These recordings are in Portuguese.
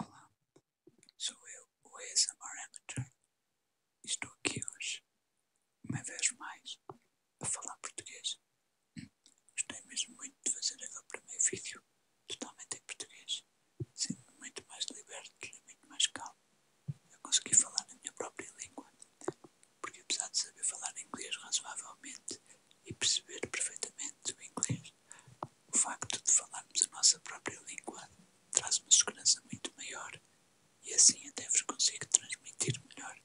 Olá, sou eu, o ASMR Amateur. Estou aqui hoje, uma vez mais, a falar português. Hum, gostei mesmo muito de fazer agora o primeiro vídeo totalmente em português sinto-me muito mais liberto e muito mais calmo. Eu consegui falar na minha própria língua, porque apesar de saber falar inglês razoavelmente e perceber perfeitamente o inglês, o facto de falarmos a nossa própria língua traz uma segurança muito maior e assim até vos consigo transmitir melhor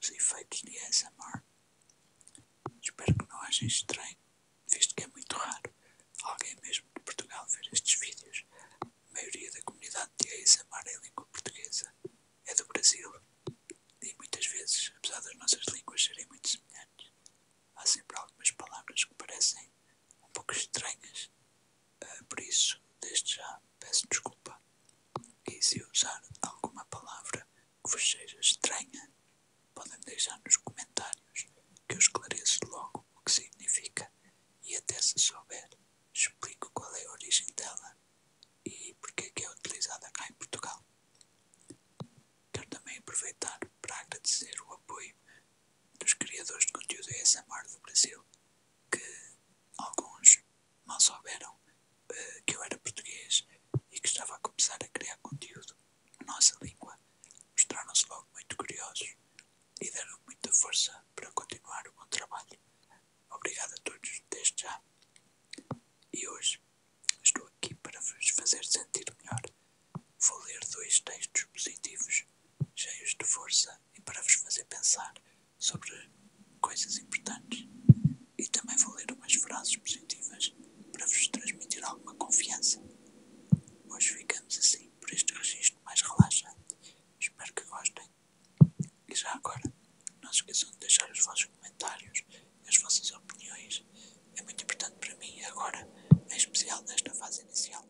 os efeitos de ASMR. Espero que não haja estranho, visto que é muito raro alguém mesmo de Portugal ver estes vídeos. A maioria da comunidade de ASMR é língua portuguesa, é do Brasil e muitas vezes, apesar das nossas línguas serem muito semelhantes, há sempre algumas palavras que parecem um pouco estranhas. Ah, por isso, desde já, peço desculpa. E se usar alguma palavra que vos seja estranha, podem deixar nos comentários que eu esclareço logo o que significa e até se souber, explico qual é a origem dela e porque é que é utilizada cá em Portugal. Quero também aproveitar para agradecer o apoio dos criadores de conteúdo ASMR do Brasil, que alguns mal souberam eh, que eu era português e que estava a começar a criar conteúdo nossa língua, mostraram-se logo muito curiosos e deram muita força para continuar o bom trabalho. Obrigado a todos desde já. E hoje estou aqui para vos fazer sentir melhor. Vou ler dois textos positivos, cheios de força e para vos fazer pensar sobre coisas importantes. E também vou ler umas frases positivas para vos transmitir alguma confiança. Hoje ficamos assim por este registro mais relaxante. Espero que gostem. E já agora, não se esqueçam de deixar os vossos comentários e as vossas opiniões. É muito importante para mim agora, em especial nesta fase inicial.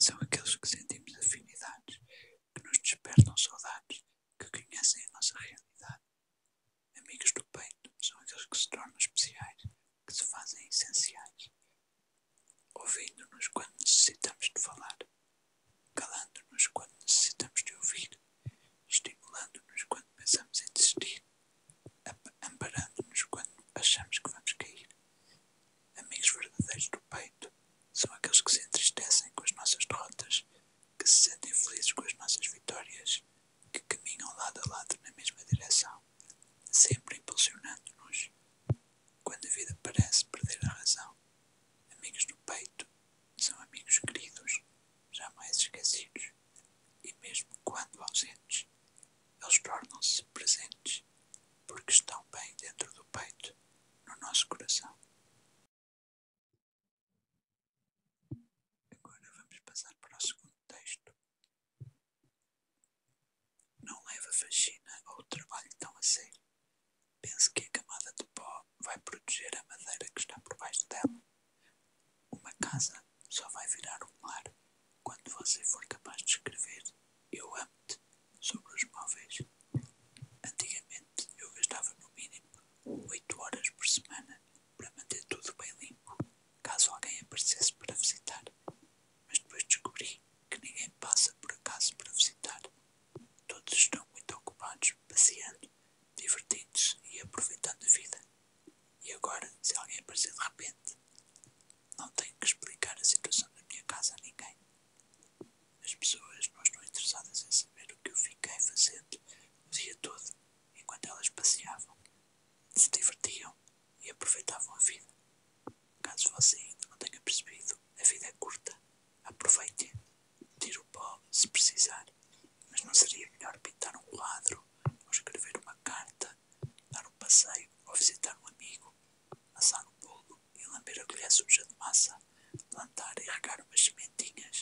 São aqueles que sentimos afinidades, que nos despertam saudades, que conhecem a nossa realidade Amigos do peito são aqueles que se tornam especiais, que se fazem essenciais, ouvindo-nos quando necessitamos de falar, calando-nos quando necessitamos de ouvir, estimulando-nos quando pensamos em desistir, amparando-nos quando achamos que vamos cair. Amigos verdadeiros do peito são aqueles que se entristecem com as nossas derrotas, que se sentem felizes com as nossas vitórias que caminham lado a lado na mesma direção, sempre impulsionando-nos. Quando a vida parece perder a razão, amigos do peito são amigos queridos, jamais esquecidos, e mesmo quando ausentes, eles tornam-se presentes, porque estão bem dentro do peito, no nosso coração. Agora vamos passar para o segundo texto. Não leva faxina ao trabalho tão a sério. Pense que a camada de pó vai proteger a madeira que está por baixo dela. Uma casa só vai virar um lar quando você for capaz de escrever Eu amo-te sobre os móveis. Antigamente, eu gastava no mínimo 8 horas por semana para manter tudo bem limpo, caso alguém aparecesse para visitar. Mas depois descobri que ninguém passa por acaso para visitar. Todos estão muito ocupados, passeando, divertindo-se e aproveitando a vida. E agora, se alguém aparecer de repente, não tenho que explicar a situação da minha casa a ninguém. As pessoas não estão interessadas em saber o que eu fiquei fazendo o dia todo, enquanto elas passeavam, se divertiam e aproveitavam a vida. Caso você ainda não tenha percebido, a vida é curta. Aproveite. Tire o pó se precisar. Mas não seria melhor pintar um quadro, ou escrever uma carta, dar um passeio, ou visitar um amigo, assar um bolo, e Yılan bir agulha suja de massa, plantar e regar umas sementinhas.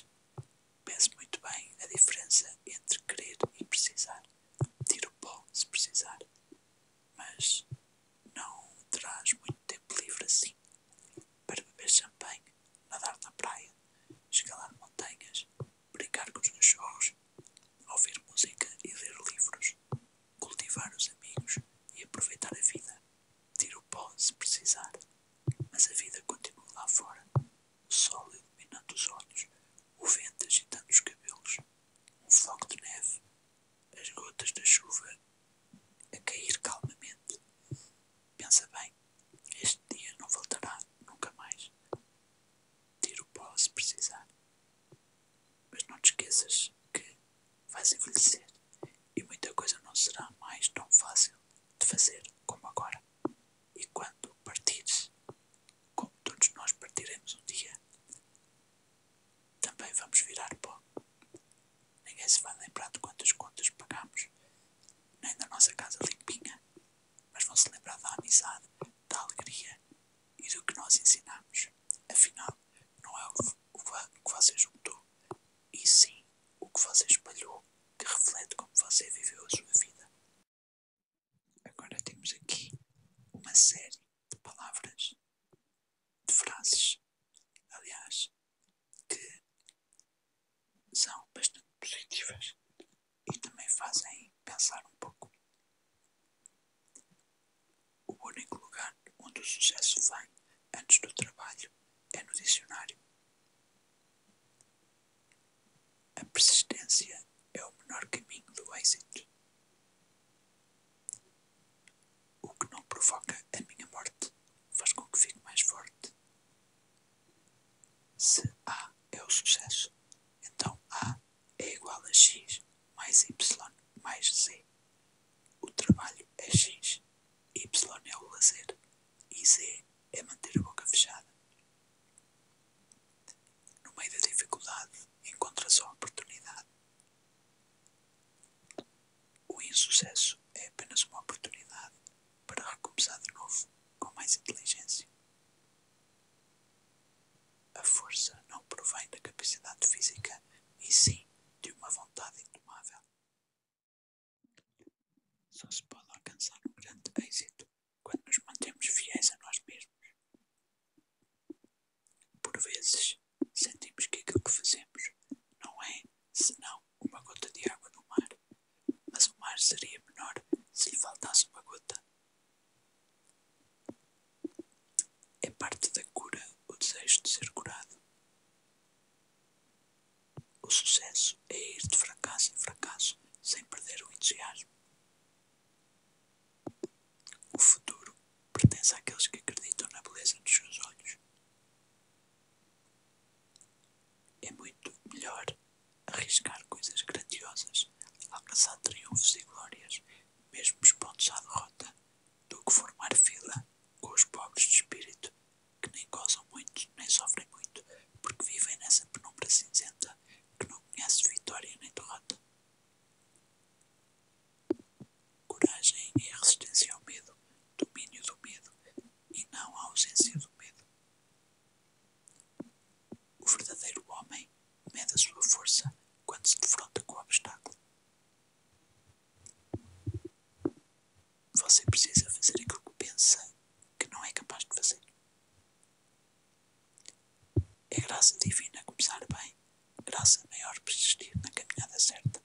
Pense muito bem a diferença entre querer e precisar. Tira o pó se precisar. Mas não terás muito tempo livre assim para beber champanhe, nadar na praia, escalar montanhas, brincar com os cachorros, ouvir música e ler livros, cultivar os amigos e aproveitar a vida. Tiro o pó se precisar. Mas a vida continua lá fora. O sol iluminando os olhos. O vento agitando os cabelos. Um floco de neve. As gotas da chuva a cair calmamente. Pensa bem. Este dia não voltará nunca mais. Tiro o pó se precisar. Mas não te esqueças que vais envelhecer e muita coisa não será mais tão fácil de fazer como agora. E quando partires, como todos nós partiremos um dia, também vamos virar pó. Ninguém se vai lembrar de quantas contas pagamos, nem da nossa casa limpinha, mas vão se lembrar da amizade, da alegria e do que nós ensinamos. Afinal, não é o que você juntou, e sim o que você espalhou, que reflete como você viveu a sua vida. Agora temos aqui uma série de palavras, de frases, aliás, que são bastante positivas e também fazem pensar um pouco. O único lugar onde o sucesso vem antes do trabalho é no dicionário. A persistência é o menor caminho do êxito. O que não provoca a minha morte faz com que fique mais forte. Se A é o sucesso, então A é igual a x mais y mais z. O trabalho é x, y é o lazer e z é manter a boca fechada. No meio da dificuldade encontra-se a oportunidade. O insucesso é apenas uma oportunidade para recomeçar de novo com mais inteligência. A força não provém da capacidade física, e sim de uma vontade indomável. Só se pode alcançar um grande êxito quando nos mantemos fiéis a nós mesmos. Por vezes, sentimos que aquilo que fazemos não é senão uma gota de água no mar, mas o mar seria menor se lhe faltasse uma gota. É parte da cura o desejo de ser curado. O sucesso é ir de fracasso em fracasso sem perder o entusiasmo. O futuro pertence àqueles que acreditam na beleza dos seus olhos. É muito melhor arriscar coisas grandiosas, alcançar triunfos e glórias mesmo os pontos à derrota, do que formar fila com os pobres de espírito, que nem gozam muito, nem sofrem muito, porque vivem nessa penumbra cinzenta que não conhece vitória nem derrota. Coragem é resistência ao medo, domínio do medo, e não a ausência do medo. O verdadeiro homem mede a sua força quando se defronta com o obstáculo. Você precisa fazer aquilo que pensa que não é capaz de fazer. É graça divina começar bem, graça maior persistir na caminhada certa,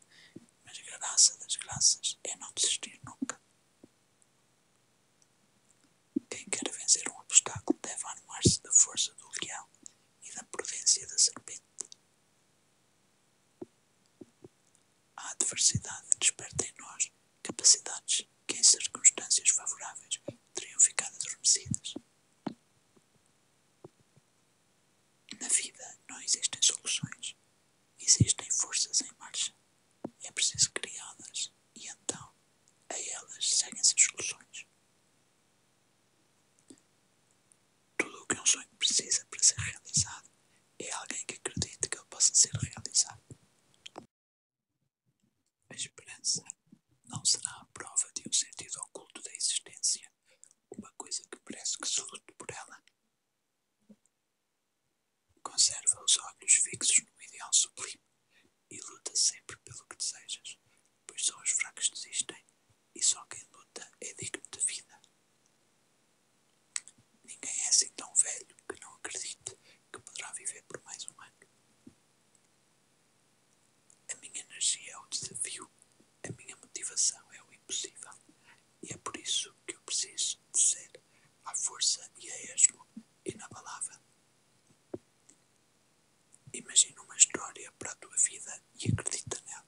mas graça das graças é não desistir nunca. Quem quer vencer um obstáculo deve animar se da força do leão e da prudência da serpente. A adversidade desperta em nós capacidades que, em circunstâncias favoráveis, teriam ficado adormecidas. Na vida não existem soluções, existem forças em marcha. É preciso criá-las. E então a elas seguem-se as soluções. Tudo o que um sonho precisa para ser realizado é alguém que acredite que ele possa ser realizado. A esperança não será a prova de um sentido oculto da existência, uma coisa que parece que se lute por ela. Conserva os olhos fixos no ideal sublime e luta sempre pelo que desejas, pois só os fracos desistem e só quem luta é digno de vida. Ninguém é assim tão velho que não acredite que poderá viver por mais um ano. A minha energia é o desafio, a minha motivação é o impossível, e é por isso que eu preciso de ser à força e a esmo e na palavra. Imagina uma história para a tua vida e acredita nela.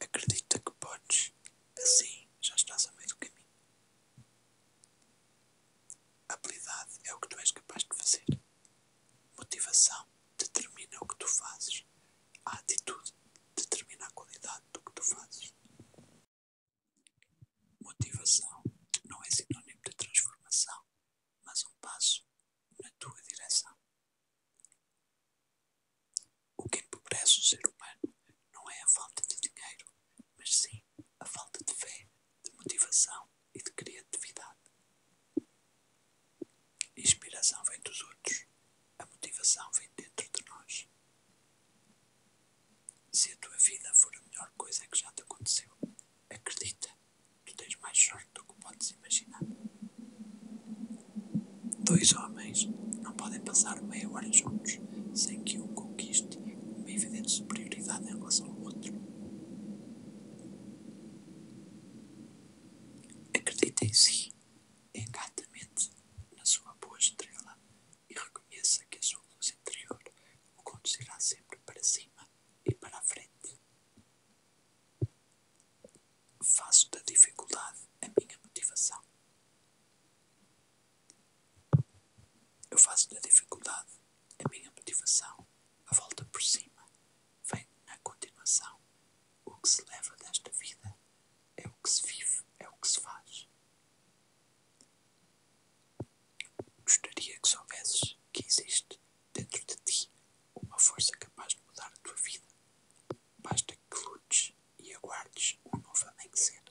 Acredita que podes, assim já estás a meio caminho. Habilidade é o que tu és capaz de fazer. Motivação determina o que tu fazes. A atitude determina a qualidade do que tu fazes. Motivação não é sinônimo de transformação, mas um passo na tua direção. O que empobrece o ser humano não é a falta de dinheiro, mas sim a falta de fé, de motivação e de criatividade. Inspiração vem dos outros. A motivação vem dentro de nós. Se a tua vida for a melhor coisa que já te aconteceu, acredita, tu tens mais sorte do que podes imaginar. Dois homens não podem passar meia hora juntos sem que um conquiste uma evidente superioridade em relação ao outro. Acredita em si Encantamente na sua boa estrela e reconheça que a sua luz interior o conduzirá sempre para cima e para a frente. Faço da dificuldade a minha motivação. Eu faço da dificuldade a minha motivação. A volta por cima vem na continuação. O que se leva desta vida é o que se vive, é o que se faz. Gostaria que soubesses que existe dentro de ti uma força capaz de mudar a tua vida. Basta que lutes e aguardes um novo amanhecer.